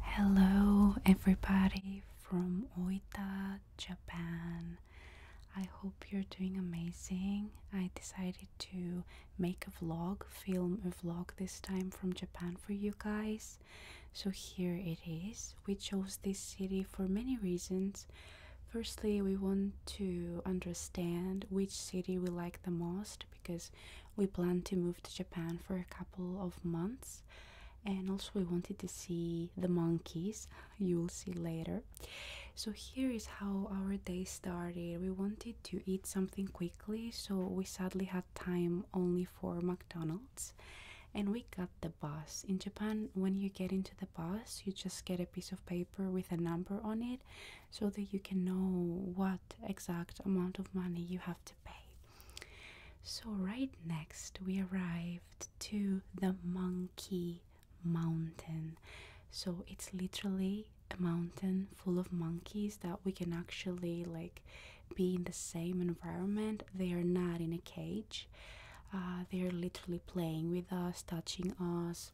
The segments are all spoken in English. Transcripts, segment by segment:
Hello, everybody from Oita, Japan. I hope you're doing amazing. I decided to make a vlog, film a vlog this time from Japan for you guys. So here it is. We chose this city for many reasons. Firstly, we want to understand which city we like the most because we planned to move to Japan for a couple of months and also we wanted to see the monkeys you will see later so here is how our day started we wanted to eat something quickly so we sadly had time only for mcdonald's and we got the bus in japan when you get into the bus you just get a piece of paper with a number on it so that you can know what exact amount of money you have to pay so, right next, we arrived to the Monkey Mountain. So, it's literally a mountain full of monkeys that we can actually like be in the same environment. They are not in a cage, uh, they are literally playing with us, touching us.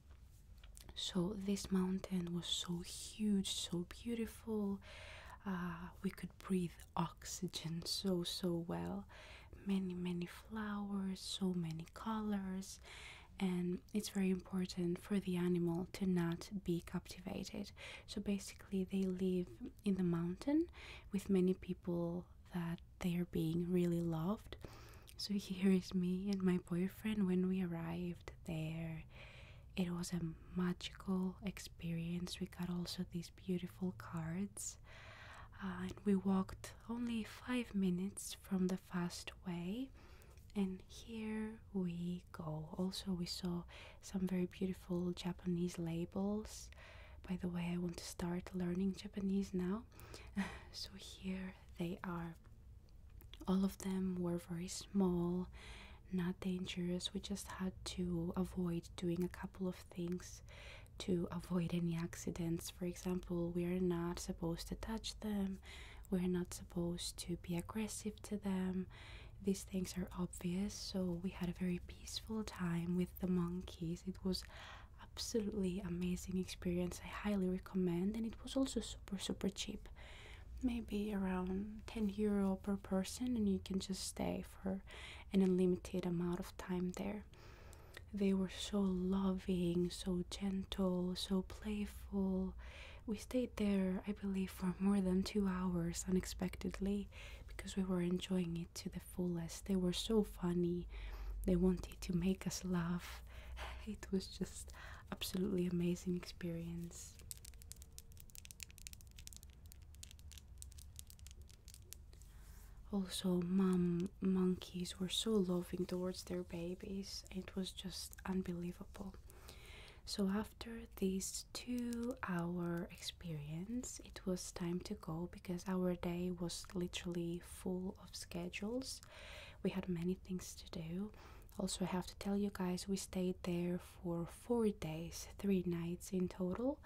So, this mountain was so huge, so beautiful. Uh, we could breathe oxygen so so well many many flowers so many colors and it's very important for the animal to not be captivated so basically they live in the mountain with many people that they are being really loved so here is me and my boyfriend when we arrived there it was a magical experience. We got also these beautiful cards, uh, and we walked only five minutes from the fast way. And here we go. Also, we saw some very beautiful Japanese labels. By the way, I want to start learning Japanese now. so, here they are. All of them were very small not dangerous. We just had to avoid doing a couple of things to avoid any accidents. For example, we are not supposed to touch them, we're not supposed to be aggressive to them. These things are obvious, so we had a very peaceful time with the monkeys. It was absolutely amazing experience. I highly recommend and it was also super super cheap maybe around 10 euro per person and you can just stay for an unlimited amount of time there they were so loving so gentle so playful we stayed there i believe for more than 2 hours unexpectedly because we were enjoying it to the fullest they were so funny they wanted to make us laugh it was just absolutely amazing experience also, mom monkeys were so loving towards their babies, it was just unbelievable. So, after this two hour experience, it was time to go because our day was literally full of schedules. We had many things to do. Also, I have to tell you guys, we stayed there for four days, three nights in total.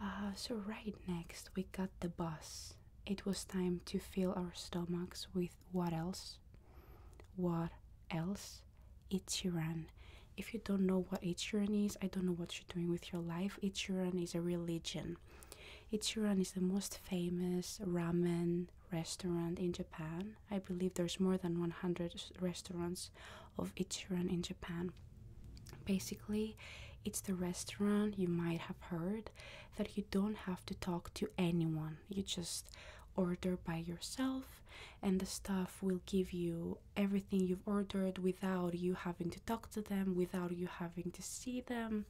Uh, so, right next, we got the bus. It was time to fill our stomachs with what else? What else? Ichiran. If you don't know what Ichiran is, I don't know what you're doing with your life. Ichiran is a religion. Ichiran is the most famous ramen restaurant in Japan. I believe there's more than 100 restaurants of Ichiran in Japan. Basically, it's the restaurant you might have heard that you don't have to talk to anyone. You just order by yourself and the staff will give you everything you've ordered without you having to talk to them, without you having to see them.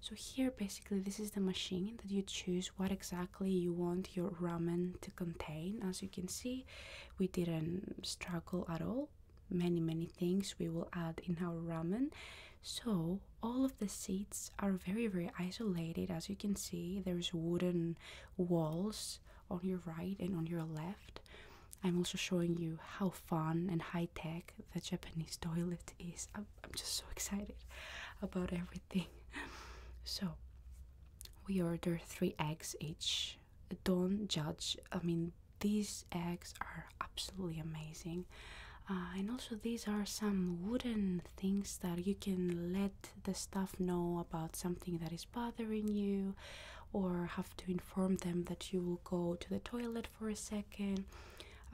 So here basically this is the machine that you choose what exactly you want your ramen to contain. As you can see, we didn't struggle at all. Many, many things we will add in our ramen. So, all of the seats are very, very isolated. As you can see, there's wooden walls on your right and on your left. I'm also showing you how fun and high tech the Japanese toilet is. I'm just so excited about everything. So, we order three eggs each. Don't judge. I mean, these eggs are absolutely amazing. Uh, and also, these are some wooden things that you can let the staff know about something that is bothering you, or have to inform them that you will go to the toilet for a second.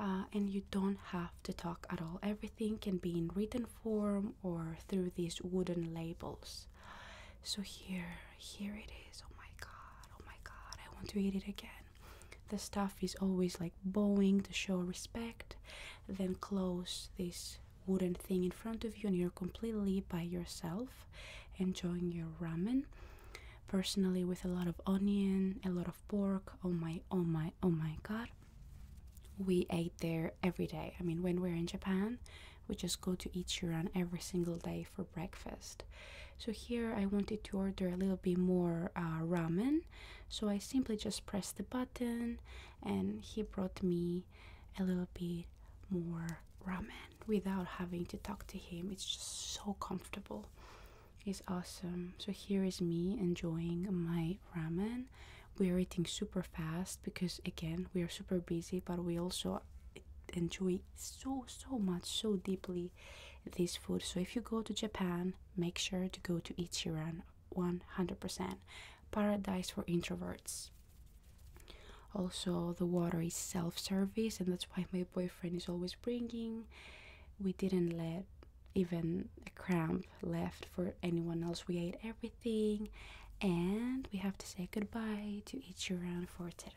Uh, and you don't have to talk at all. Everything can be in written form or through these wooden labels. So here, here it is. Oh my god, oh my god, I want to eat it again. The stuff is always like bowing to show respect, then close this wooden thing in front of you, and you're completely by yourself enjoying your ramen. Personally, with a lot of onion, a lot of pork. Oh my, oh my, oh my god we ate there every day. I mean, when we're in Japan, we just go to Ichiran every single day for breakfast. So, here I wanted to order a little bit more uh, ramen, so I simply just pressed the button and he brought me a little bit more ramen without having to talk to him. It's just so comfortable, it's awesome. So, here is me enjoying my ramen we're eating super fast because again we are super busy but we also enjoy so so much so deeply this food so if you go to japan make sure to go to ichiran 100% paradise for introverts also the water is self-service and that's why my boyfriend is always bringing we didn't let even a cramp left for anyone else. We ate everything, and we have to say goodbye to each for today.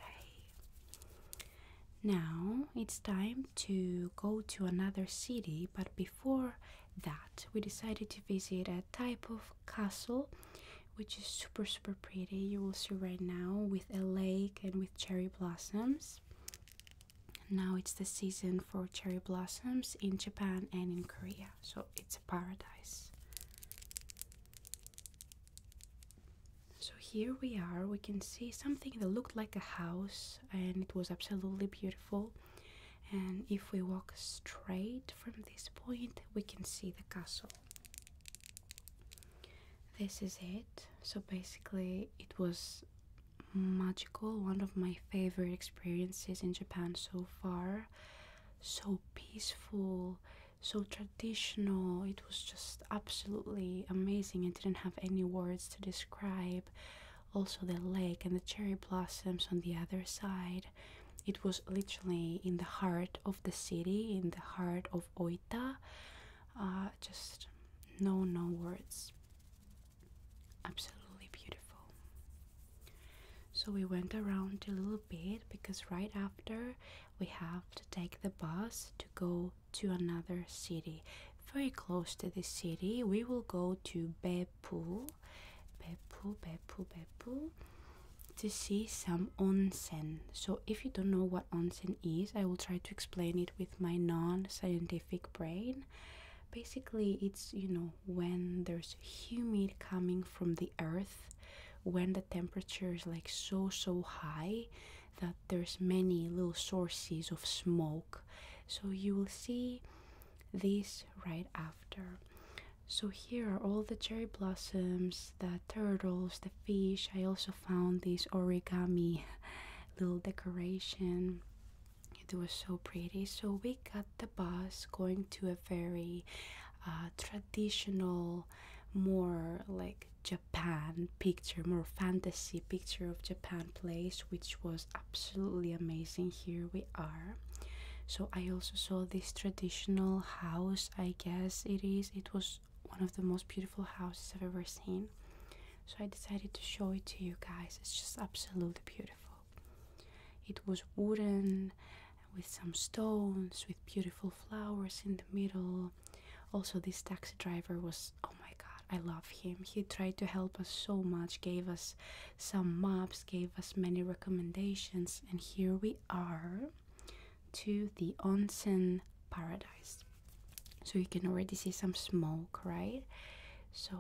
Now it's time to go to another city, but before that, we decided to visit a type of castle which is super super pretty. You will see right now with a lake and with cherry blossoms. Now it's the season for cherry blossoms in Japan and in Korea, so it's a paradise. So here we are, we can see something that looked like a house and it was absolutely beautiful. And if we walk straight from this point, we can see the castle. This is it. So basically, it was magical, one of my favorite experiences in Japan so far. So peaceful, so traditional. It was just absolutely amazing. I didn't have any words to describe. Also, the lake and the cherry blossoms on the other side. It was literally in the heart of the city, in the heart of Oita. Uh, just no, no words absolutely beautiful. So we went around a little bit because right after we have to take the bus to go to another city. Very close to the city, we will go to Beppu, Beppu, Beppu, Beppu to see some onsen. So if you don't know what onsen is, I will try to explain it with my non-scientific brain. Basically, it's you know when there's humid coming from the earth, when the temperature is like so so high that there's many little sources of smoke. So you will see this right after. So here are all the cherry blossoms, the turtles, the fish. I also found this origami little decoration it was so pretty. So we got the bus going to a very uh, traditional, more like Japan picture, more fantasy picture of Japan place, which was absolutely amazing. Here we are. So I also saw this traditional house, I guess it is. It was one of the most beautiful houses I've ever seen so I decided to show it to you guys. It's just absolutely beautiful. It was wooden with some stones, with beautiful flowers in the middle. Also, this taxi driver was oh my god, I love him. He tried to help us so much, gave us some maps, gave us many recommendations, and here we are to the onsen paradise. So, you can already see some smoke, right? So,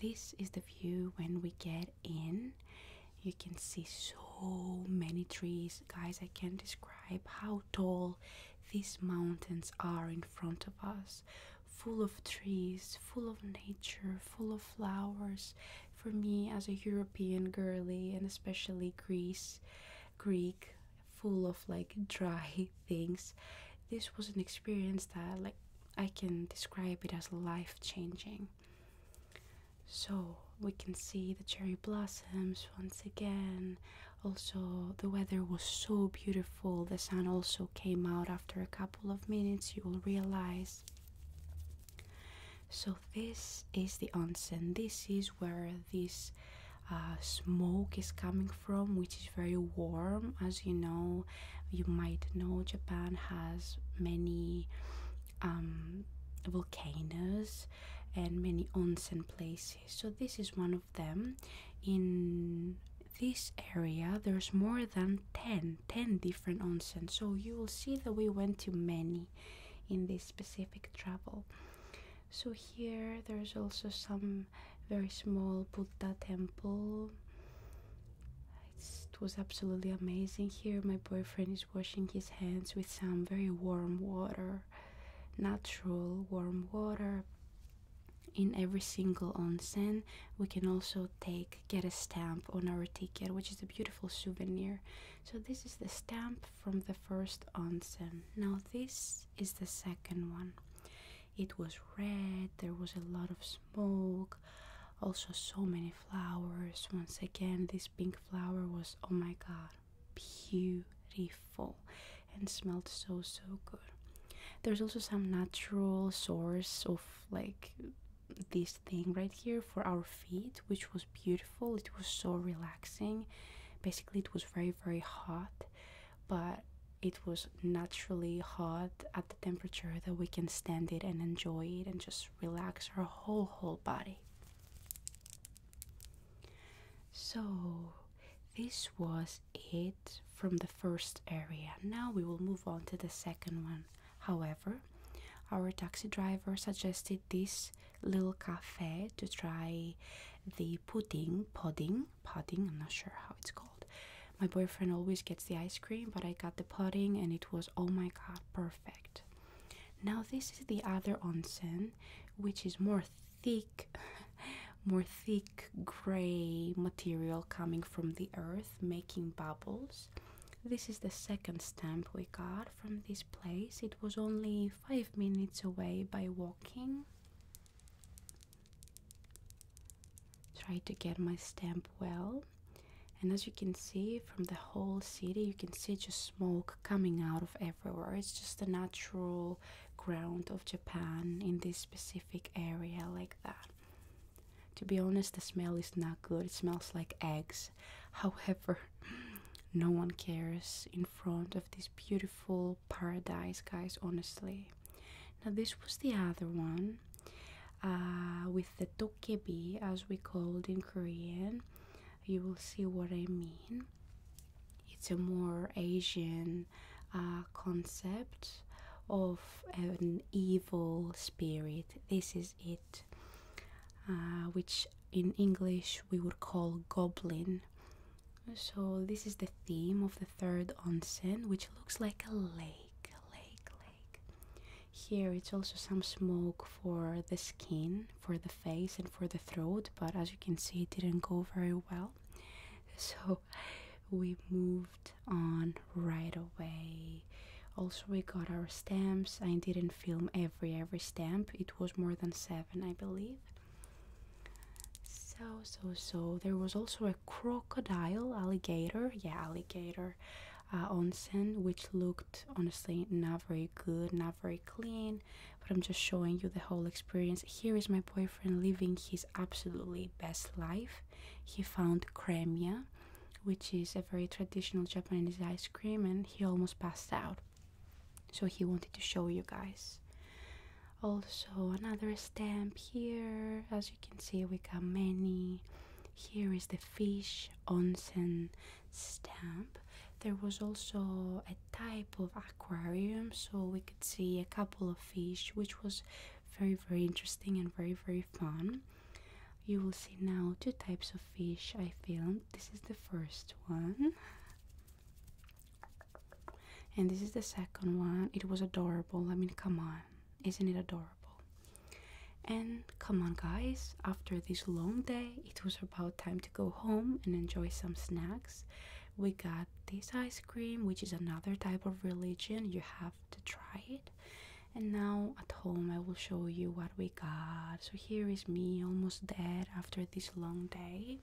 this is the view when we get in. You can see so many trees. Guys, I can't describe how tall these mountains are in front of us. Full of trees, full of nature, full of flowers. For me, as a European girly, and especially Greece, Greek, full of like dry things this was an experience that like i can describe it as life changing so we can see the cherry blossoms once again also the weather was so beautiful the sun also came out after a couple of minutes you will realize so this is the onsen this is where this uh, smoke is coming from which is very warm as you know you might know Japan has many um, volcanoes and many onsen places so this is one of them in this area there's more than 10 different onsen so you will see that we went to many in this specific travel so here there's also some very small Buddha temple. it was absolutely amazing here. My boyfriend is washing his hands with some very warm water, natural warm water. In every single onsen, we can also take get a stamp on our ticket, which is a beautiful souvenir. So this is the stamp from the first onsen. Now this is the second one it was red, there was a lot of smoke, also, so many flowers. Once again, this pink flower was oh my god, beautiful and smelled so so good. There's also some natural source of like this thing right here for our feet, which was beautiful. It was so relaxing. Basically, it was very, very hot, but it was naturally hot at the temperature that we can stand it and enjoy it and just relax our whole whole body. So this was it from the first area. Now we will move on to the second one. However, our taxi driver suggested this little cafe to try the pudding, pudding, pudding, I'm not sure how it's called. My boyfriend always gets the ice cream, but I got the pudding and it was oh my god, perfect. Now, this is the other onsen, which is more thick, more thick gray material coming from the earth, making bubbles. This is the second stamp we got from this place. It was only five minutes away by walking try to get my stamp well and as you can see from the whole city you can see just smoke coming out of everywhere it's just the natural ground of japan in this specific area like that to be honest the smell is not good it smells like eggs however no one cares in front of this beautiful paradise, guys, honestly. Now, this was the other one uh, with the tokebi, as we called in Korean. You will see what I mean. It's a more Asian uh, concept of an evil spirit. This is it, uh, which in English we would call goblin. So this is the theme of the third onsen, which looks like a lake, lake, lake. Here it's also some smoke for the skin, for the face and for the throat, but as you can see it didn't go very well. So we moved on right away. Also we got our stamps. I didn't film every every stamp. It was more than 7, I believe. So, so, so, there was also a crocodile, alligator, yeah, alligator on uh, onsen, which looked honestly not very good, not very clean. But I'm just showing you the whole experience. Here is my boyfriend living his absolutely best life. He found kremia, which is a very traditional Japanese ice cream, and he almost passed out. So, he wanted to show you guys also another stamp here as you can see we got many here is the fish onsen stamp there was also a type of aquarium so we could see a couple of fish which was very very interesting and very very fun you will see now two types of fish i filmed this is the first one and this is the second one. It was adorable. I mean, come on. Isn't it adorable? And come on, guys. After this long day, it was about time to go home and enjoy some snacks. We got this ice cream, which is another type of religion. You have to try it. And now at home, I will show you what we got. So here is me, almost dead after this long day.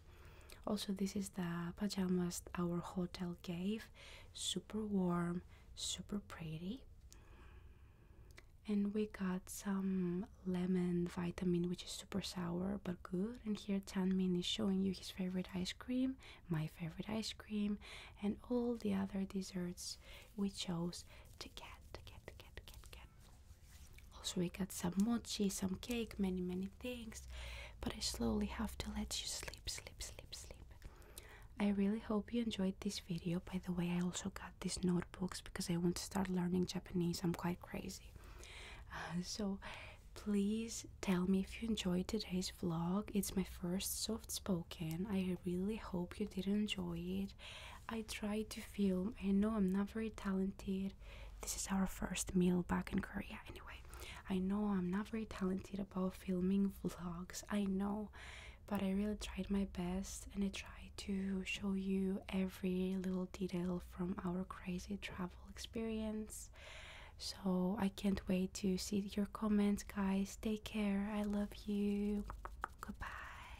Also, this is the pajamas our hotel gave. Super warm, super pretty. And we got some lemon vitamin, which is super sour but good. And here Tanmin is showing you his favorite ice cream, my favorite ice cream, and all the other desserts we chose to get, to get. Also, we got some mochi, some cake, many, many things. But I slowly have to let you sleep, sleep, sleep, sleep. I really hope you enjoyed this video. By the way, I also got these notebooks because I want to start learning Japanese. I'm quite crazy. Uh, so, please tell me if you enjoyed today's vlog. It's my first soft spoken. I really hope you did enjoy it. I tried to film. I know I'm not very talented. This is our first meal back in Korea, anyway. I know I'm not very talented about filming vlogs, I know, but I really tried my best and I tried to show you every little detail from our crazy travel experience. So I can't wait to see your comments, guys. Take care, I love you. Goodbye.